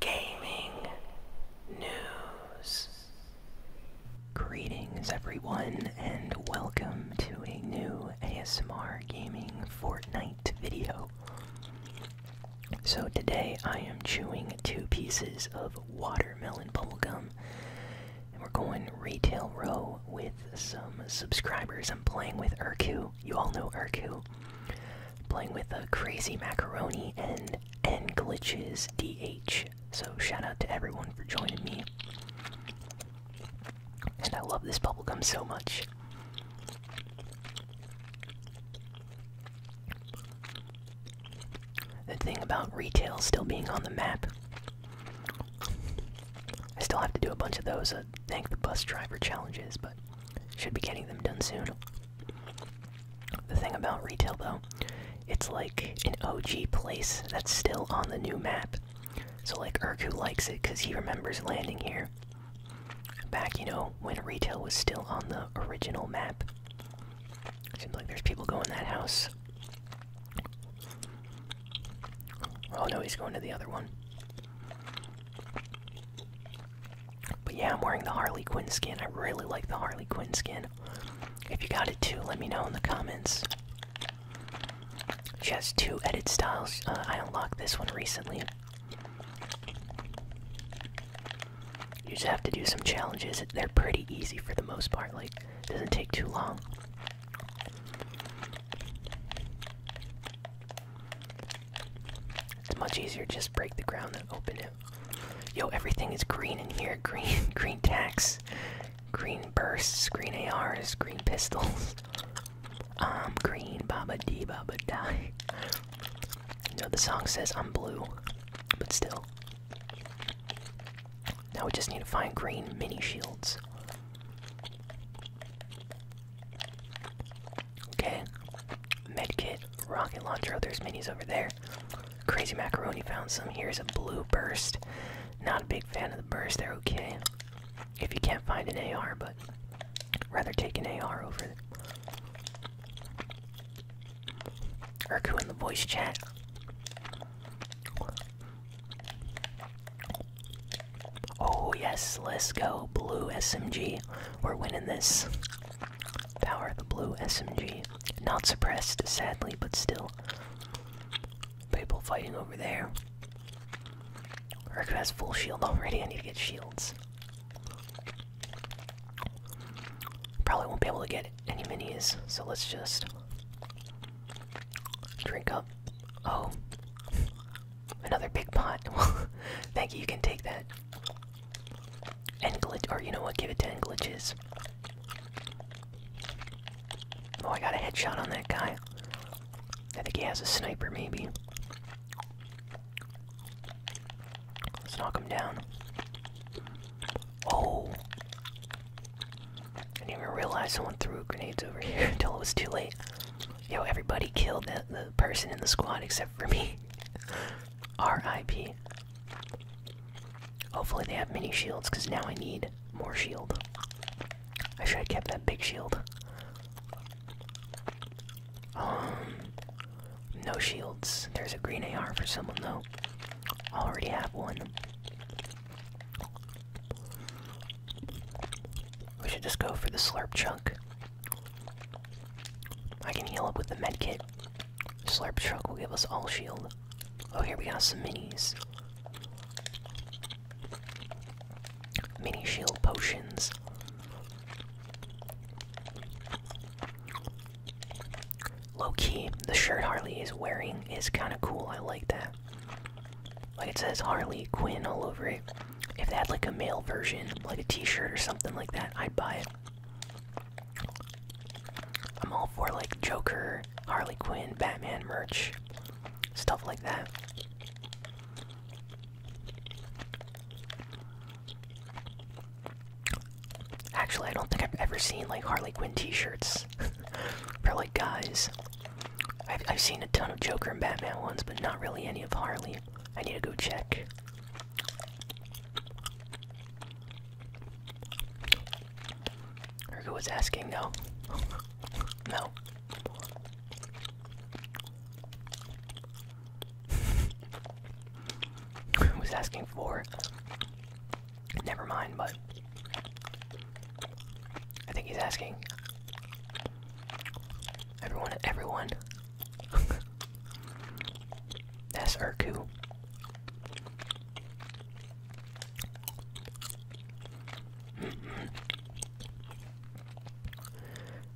gaming news. Greetings, everyone, and welcome to a new ASMR Gaming Fortnite video. So, today I am chewing two pieces of watermelon bubblegum, and we're going retail row with some subscribers. I'm playing with Urku. You all know Urku playing with a crazy macaroni and and glitches DH. So shout out to everyone for joining me. And I love this bubblegum so much. The thing about retail still being on the map. I still have to do a bunch of those thank the bus driver challenges, but should be getting them done soon. The thing about retail, though, it's like an OG place that's still on the new map. So, like, Urku likes it because he remembers landing here. Back, you know, when retail was still on the original map. Seems like there's people going that house. Oh no, he's going to the other one. But yeah, I'm wearing the Harley Quinn skin. I really like the Harley Quinn skin. If you got it too, let me know in the comments. She has two edit styles. Uh, I unlocked this one recently. You just have to do some challenges. They're pretty easy for the most part. Like, it doesn't take too long. It's much easier just break the ground than open it. Yo, everything is green in here. Green, green tax, green bursts, green ARs, green pistols. I'm um, green, Baba Dee, Baba Die. No, the song says I'm blue, but still. Now we just need to find green mini shields. Okay, Medkit, rocket launcher. Oh, there's minis over there. Crazy macaroni found some. Here's a blue burst. Not a big fan of the burst. They're okay if you can't find an AR, but rather take an AR over. Them. Urku in the voice chat. Oh yes, let's go blue SMG. We're winning this. Power of the Blue SMG. Not suppressed, sadly, but still. People fighting over there. Urku has full shield already. I need to get shields. Probably won't be able to get any minis, so let's just drink up. Oh, another big pot. Thank you. You can take that. And glitch, or you know what? Give it 10 glitches. Oh, I got a headshot on that guy. I think he has a sniper, maybe. Let's knock him down. Oh! I didn't even realize someone threw grenades over here until it was too late. Yo, everybody killed the person in the squad except for me. R.I.P. Hopefully they have mini shields, because now I need more shield. I should have kept that big shield. Um, no shields. There's a green AR for someone though. I already have one. We should just go for the slurp chunk. I can heal up with the med kit. Slurp Truck will give us all shield. Oh, here we got some minis. Mini shield potions. Low key, the shirt Harley is wearing is kind of cool. I like that. Like it says Harley Quinn all over it. If they had like a male version, like a t shirt or something like that, I'd buy it. I'm all for like Joker, Harley Quinn, Batman merch, stuff like that. Actually, I don't think I've ever seen like Harley Quinn t-shirts for like guys. I've, I've seen a ton of Joker and Batman ones, but not really any of Harley. I need to go check. Ergo was asking, no. no. was asking for. Never mind, but. I think he's asking. Everyone, everyone. That's Urku.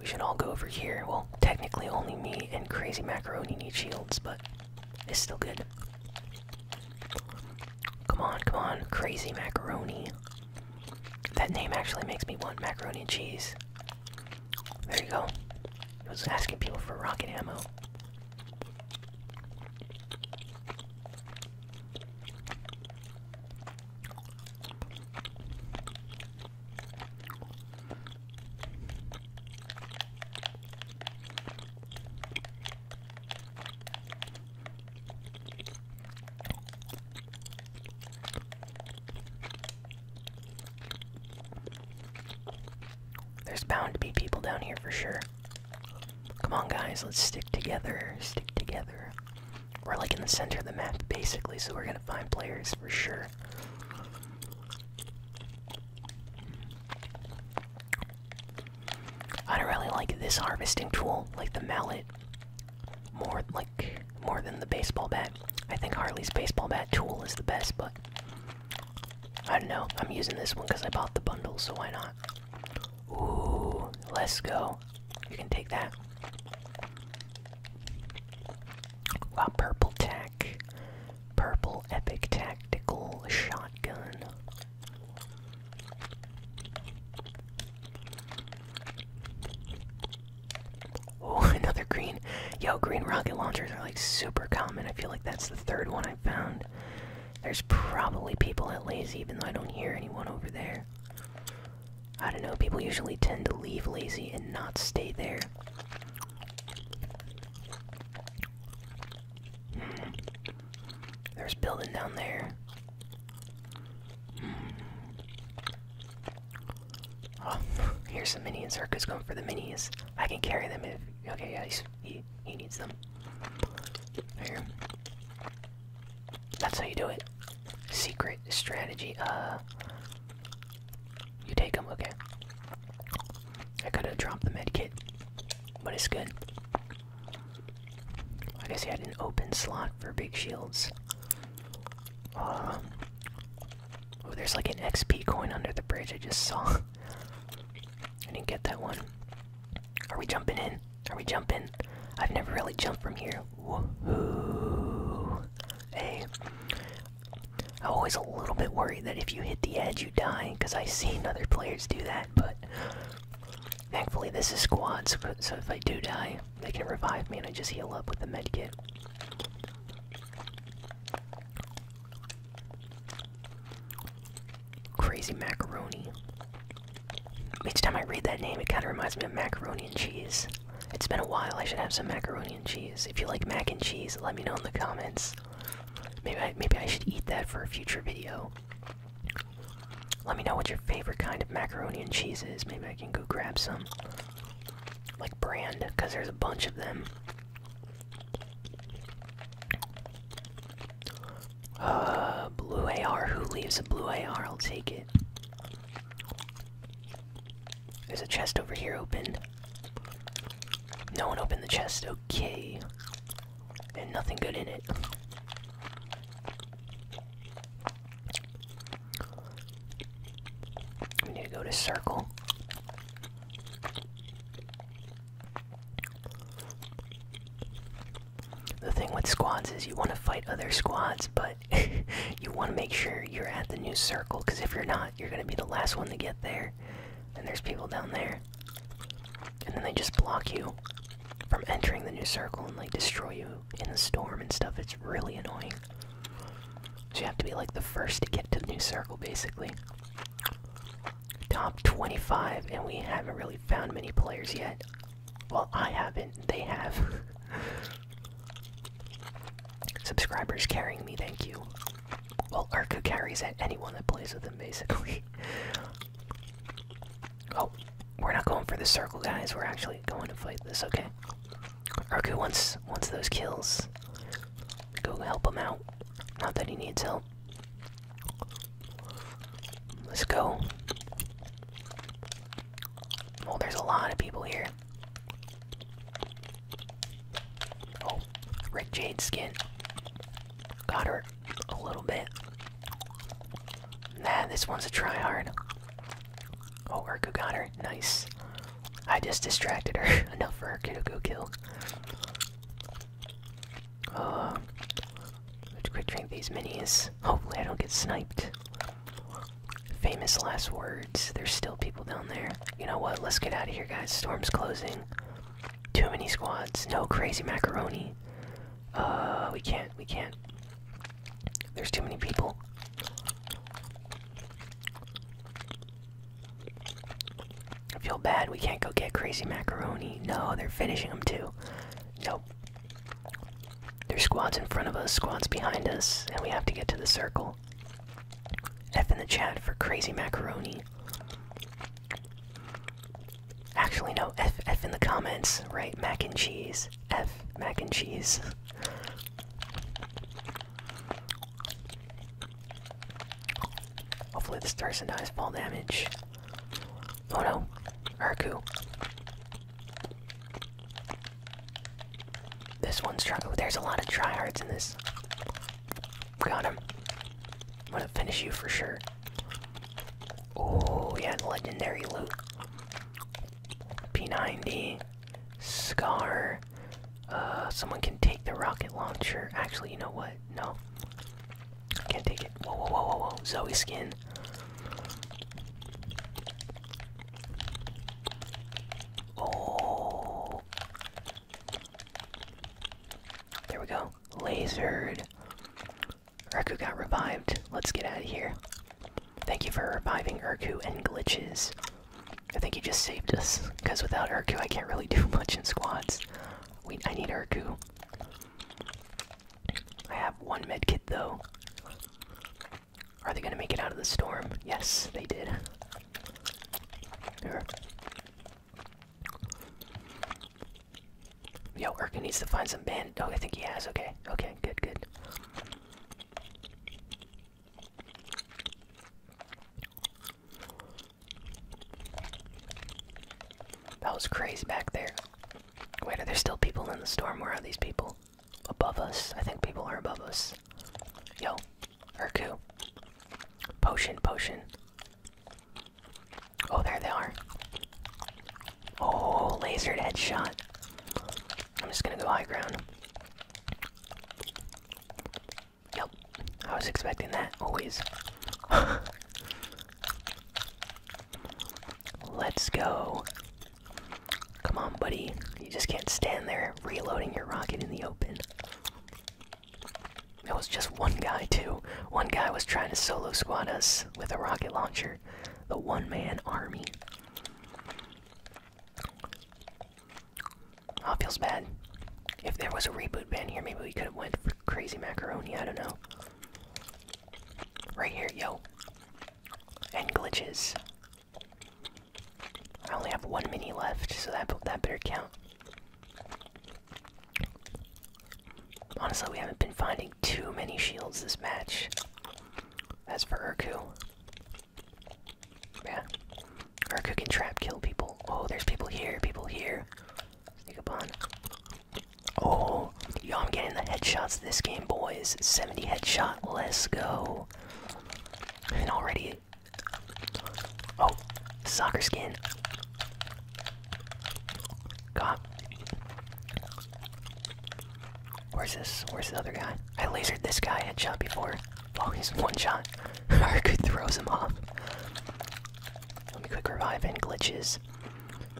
we should all go over here. Well, technically only me and Crazy Macaroni need shields, but it's still good. Come on, come on, Crazy Macaroni. That name actually makes me want macaroni and cheese. There you go. He was asking people for rocket ammo. There's bound to be people down here for sure. Come on, guys, let's stick together. Stick together. We're like in the center of the map, basically, so we're gonna find players for sure. I don't really like this harvesting tool, like the mallet, more like more than the baseball bat. I think Harley's baseball bat tool is the best, but I don't know. I'm using this one because I bought the bundle, so why not? Ooh, let's go. You can take that. Got purple tech. Purple epic tactical shotgun. Oh, another green. Yo, green rocket launchers are like super common. I feel like that's the third one I found. There's probably people at Lazy, even though I don't hear anyone over there. I don't know, people usually tend to leave Lazy and not stay there. There's building down there. Hmm. Oh, here's some minis. minions. Herka's going for the minis. I can carry them if Okay, yeah, he he needs them. Here. That's how you do it. Secret strategy. Uh, you take them. Okay. I could have dropped the med kit, but it's good. I guess he had an open slot for big shields. Um, Oh, there's like an XP coin under the bridge I just saw. I didn't get that one. Are we jumping in? Are we jumping? I've never really jumped from here. Woohoo! Hey. I'm always a little bit worried that if you hit the edge, you die, because I've seen other players do that, but thankfully this is squad, so, if I do die, they can revive me and I just heal up with the medkit. Crazy macaroni. Each time I read that name, it kind of reminds me of macaroni and cheese. It's been a while, I should have some macaroni and cheese. If you like mac and cheese, let me know in the comments. Maybe I, maybe I should eat that for a future video. Let me know what your favorite kind of macaroni and cheese is. Maybe I can go grab some. Like brand, because there's a bunch of them. Uh, blue AR. Who leaves a blue AR? I'll take it. There's a chest over here open. No one opened the chest. Okay. And nothing good in it. We need to go to circle. The thing with squads is you want to fight other squads, but you want to make sure you're at the new circle, because if you're not, you're going to be the last one to get there. And there's people down there. And then they just block you from entering the new circle and like destroy you in the storm and stuff. It's really annoying. So you have to be like the first to get to the new circle, basically top 25, and we haven't really found many players yet. Well, I haven't, they have. Subscribers carrying me, thank you. Well, Arku carries anyone that plays with him, basically. oh, we're not going for the circle, guys. We're actually going to fight this, okay? Arku. wants, wants those kills. Go help him out. Not that he needs help. Let's go. Oh, there's a lot of people here. Oh, Rick Jade's skin. Got her a little bit. Nah, this one's a try hard. Oh, we're gonna get her. Nice. I just distracted her enough for Urku to go kill. Uh, let's quick drink these minis. Hopefully, I don't get sniped. Famous last words. There's still people down there. You know what? Let's get out of here, guys. Storm's closing. Too many squads. No crazy macaroni. Uh, we can't. We can't. There's too many people. I feel bad we can't go get crazy macaroni. No, they're finishing them too. Nope. There's squads in front of us, squads behind us, and we have to get to the circle. F in the chat for crazy macaroni. Actually, no, F, F in the comments, right? Mac and cheese. F, mac and cheese. Hopefully this Thurston dies fall damage. Oh no, Arku! This one's trying. Oh, there's a lot of tryhards in this. Got him. I'm gonna finish you for sure. Oh, yeah, legendary loot. P90, Scar, uh, someone can take the rocket launcher. Actually, you know what? No. can't take it. Whoa, whoa, whoa, whoa, whoa. Zoe skin. Oh. There we go. Lasered. Urku got revived. Let's get out of here. Thank you for reviving Urku and glitches. I think you just saved us, because without Urku I can't really do much in squads. Wait, I need Urku. I have one medkit though. Are they gonna make it out of the storm? Yes, they did. Here. Yo, Urka needs to find some band. Oh, I think he has. Okay, okay, good, good. That was crazy back there. Wait, are there still people in the storm? Where are these people? Above us? I think people are above us. Yo, Urku. Potion, potion. Oh, there they are. Oh, lasered headshot. I'm just gonna go high ground. Yep, I was expecting that, always. Let's go. Come on, buddy. You just can't stand there reloading your rocket in the open. It was just one guy, too. One guy was trying to solo squad us with a rocket launcher. The one man army. Oh, feels bad. If there was a reboot ban here, maybe we could have went for crazy macaroni. I don't know. Right here, yo. And glitches. I only have one mini left, so that that better count. Honestly, we haven't been finding too many shields this match. As for Urku. Yeah. Or cooking trap kill people. Oh, there's people here, people here. Sneak up on. Oh, yo, I'm getting the headshots this game, boys. 70 headshot, let's go. And already. Oh, soccer skin. God. Where's this? Where's the other guy? I lasered this guy headshot before. Oh, he's one shot. Arku throws him off. Let me quick revive and glitches.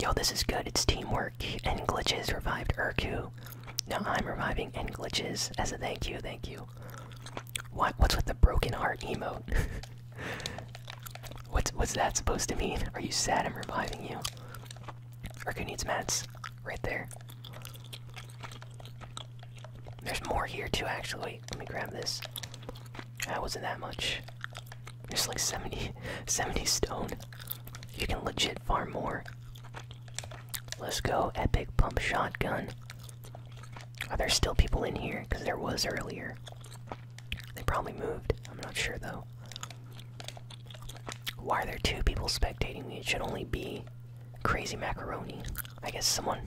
Yo, this is good. It's teamwork. And glitches revived Urku. Now I'm reviving and glitches as a thank you. Thank you. What? What's with the broken heart emoji? what's What's that supposed to mean? Are you sad? I'm reviving you. Urku needs mats. Right there. There's more here too, actually let me grab this. That wasn't that much. There's like 70, 70 stone. You can legit farm more. Let's go, epic pump shotgun. Are there still people in here? Because there was earlier. They probably moved. I'm not sure though. Why are there two people spectating me? It should only be crazy macaroni. I guess someone,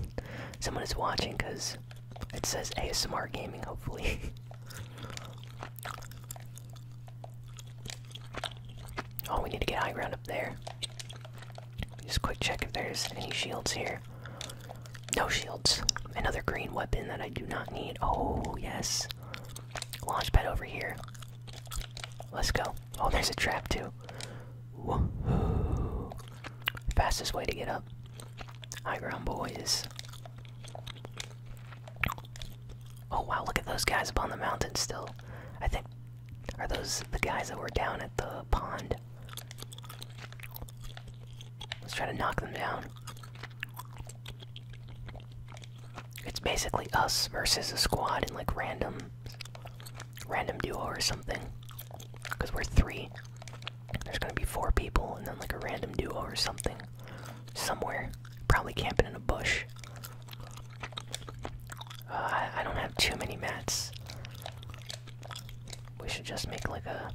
someone is watching because it says ASMR gaming. Hopefully. oh, we need to get high ground up there. Just quick check if there's any shields here. No shields. Another green weapon that I do not need. Oh yes. Launch pad over here. Let's go. Oh, there's a trap too. Fastest way to get up. High ground boys. Oh wow, look at those guys up on the mountain still. I think are those the guys that were down at the pond? Let's try to knock them down. It's basically us versus a squad and like random random duo or something. Because we're three. There's gonna be four people and then like a random duo or something. Somewhere. Probably camping in a bush. Uh, I don't have too many mats. We should just make like a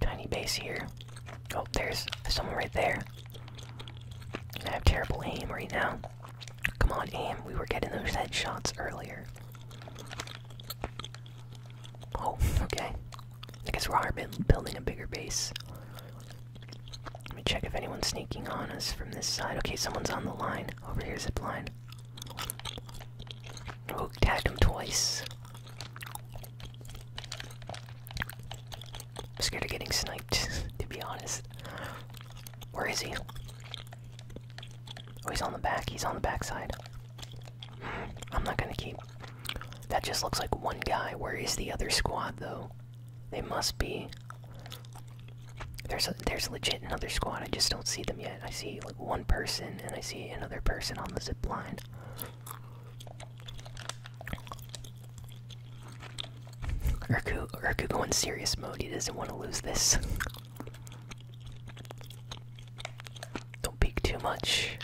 tiny base here. Oh, there's someone right there. I have terrible aim right now. Come on, aim. We were getting those headshots earlier. Oh, okay. I guess we are all building a bigger base. Let me check if anyone's sneaking on us from this side. Okay, someone's on the line. Over here, zip line. Oh, tagged him twice. I'm scared of getting sniped, to be honest. Where is he? Oh, he's on the back. He's on the backside. I'm not gonna keep. That just looks like one guy. Where is the other squad though? They must be. There's a, there's legit another squad. I just don't see them yet. I see like one person and I see another person on the zip line. Urku, Urku going serious mode. He doesn't want to lose this. Don't peek too much.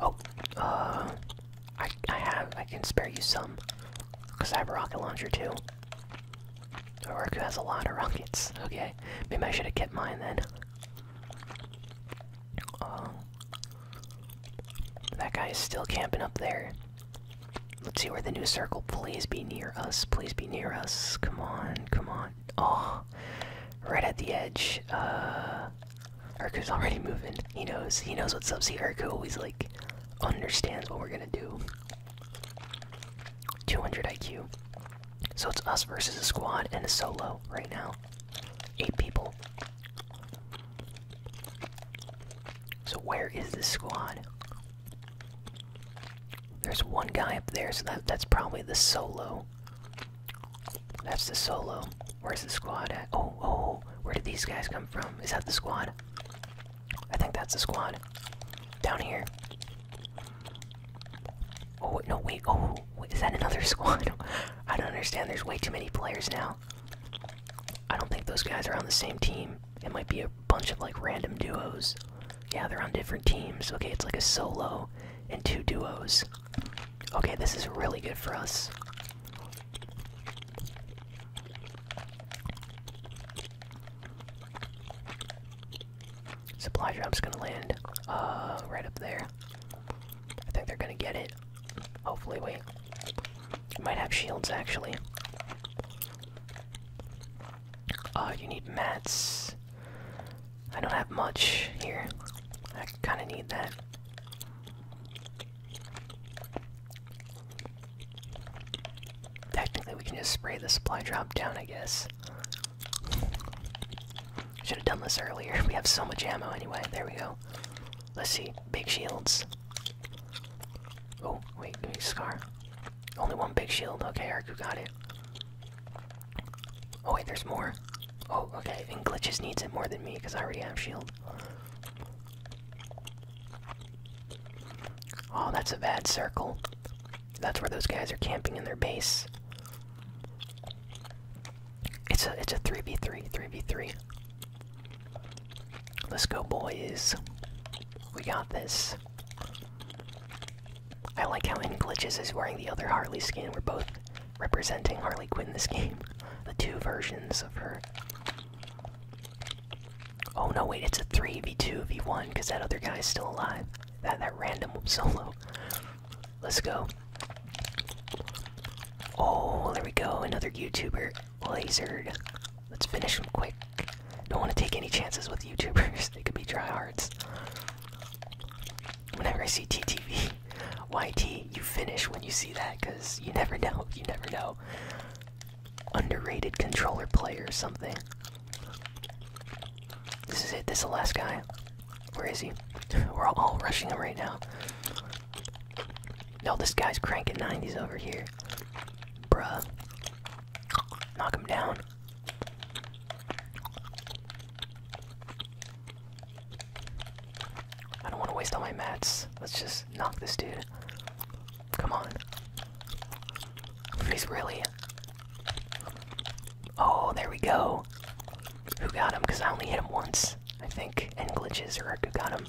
Oh, uh, I I have I can spare you some, cause I have a rocket launcher too. Oroku has a lot of rockets. Okay, maybe I should have kept mine then. Uh, that guy is still camping up there. Let's see where the new circle. Please be near us. Please be near us. Come on, come on. Oh, right at the edge. Uh, Urku's already moving. He knows. He knows what's up. See, Erku always like understands what we're gonna do. 200 IQ. So it's us versus a squad and a solo right now. Eight people. So where is the squad? There's one guy up there, so that, that's probably the solo. That's the solo. Where's the squad at? Oh, oh, where did these guys come from? Is that the squad? I think that's the squad. Down here. Oh, no, wait, oh, wait, is that another squad? I don't understand, there's way too many players now. I don't think those guys are on the same team. It might be a bunch of, like, random duos. Yeah, they're on different teams. Okay, it's like a solo and two duos. Okay, this is really good for us. Supply drop's gonna land uh, right up there. I think they're gonna get it. Hopefully, we Might have shields actually. Uh, you need mats. I don't have much here. I kind of need that. Technically, we can just spray the supply drop down, I guess. Should have done this earlier. We have so much ammo anyway. There we go. Let's see. Big shields. Oh, wait, give a scar. Only one big shield. Okay, Arku got it. Oh wait, there's more. Oh, okay, and Glitches needs it more than me because I already have shield. Oh, that's a bad circle. That's where those guys are camping in their base. It's a it's a 3v3, 3v3. Let's go boys. We got this. I like how in glitches is wearing the other Harley skin. We're both representing Harley Quinn in this game. The two versions of her. Oh no, wait, it's a 3v2, v1, because that other guy is still alive. That that random solo. Let's go. Oh, there we go, another YouTuber lasered. Let's finish him quick. Don't want to take any chances with YouTubers. They could be dryhards whenever I see TTV, you finish when you see that because you never know. You never know. Underrated controller player or something. This is it. This is the last guy. Where is he? We're all rushing him right now. No, this guy's cranking 90s over here. Bruh. Knock him down. I don't want to waste all my mats. Let's just knock this dude. Come on. He's really. Oh, there we go. Who got him? Because I only hit him once, I think. And glitches are who got him.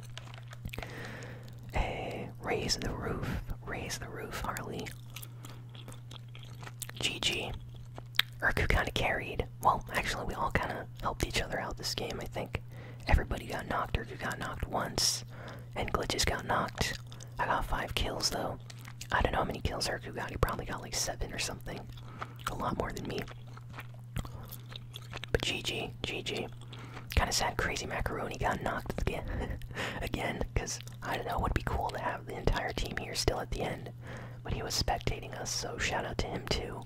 Hey, raise the roof. Raise the roof, Harley. GG. Urku kind of carried. Well, actually, we all kind of helped each other out this game, I think. Everybody got knocked. Urku got knocked once, and Glitches got knocked. I got five kills, though. I don't know how many kills Urku got. He probably got like seven or something. A lot more than me. But GG, GG. Kind of sad, crazy macaroni got knocked again, again, because I don't know. It would be cool to have the entire team here still at the end. But he was spectating us, so shout out to him too.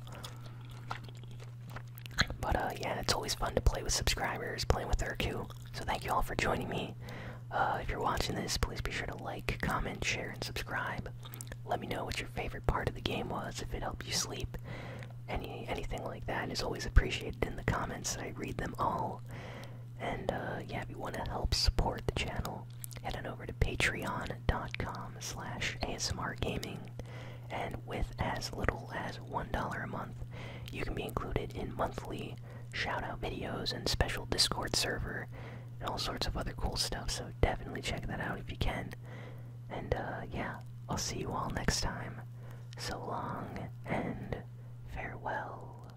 But uh, yeah, it's always fun to play with subscribers, playing with her too. So thank you all for joining me. Uh, if you're watching this, please be sure to like, comment, share, and subscribe. Let me know what your favorite part of the game was, if it helped you sleep. Any anything like that is always appreciated in the comments. I read them all. And uh, yeah, if you want to help support the channel, head on over to patreon.com slash ASMR Gaming, and with as little as $1 a month you can be included in monthly shout-out videos and special discord server and all sorts of other cool stuff so definitely check that out if you can and uh, yeah i'll see you all next time so long and farewell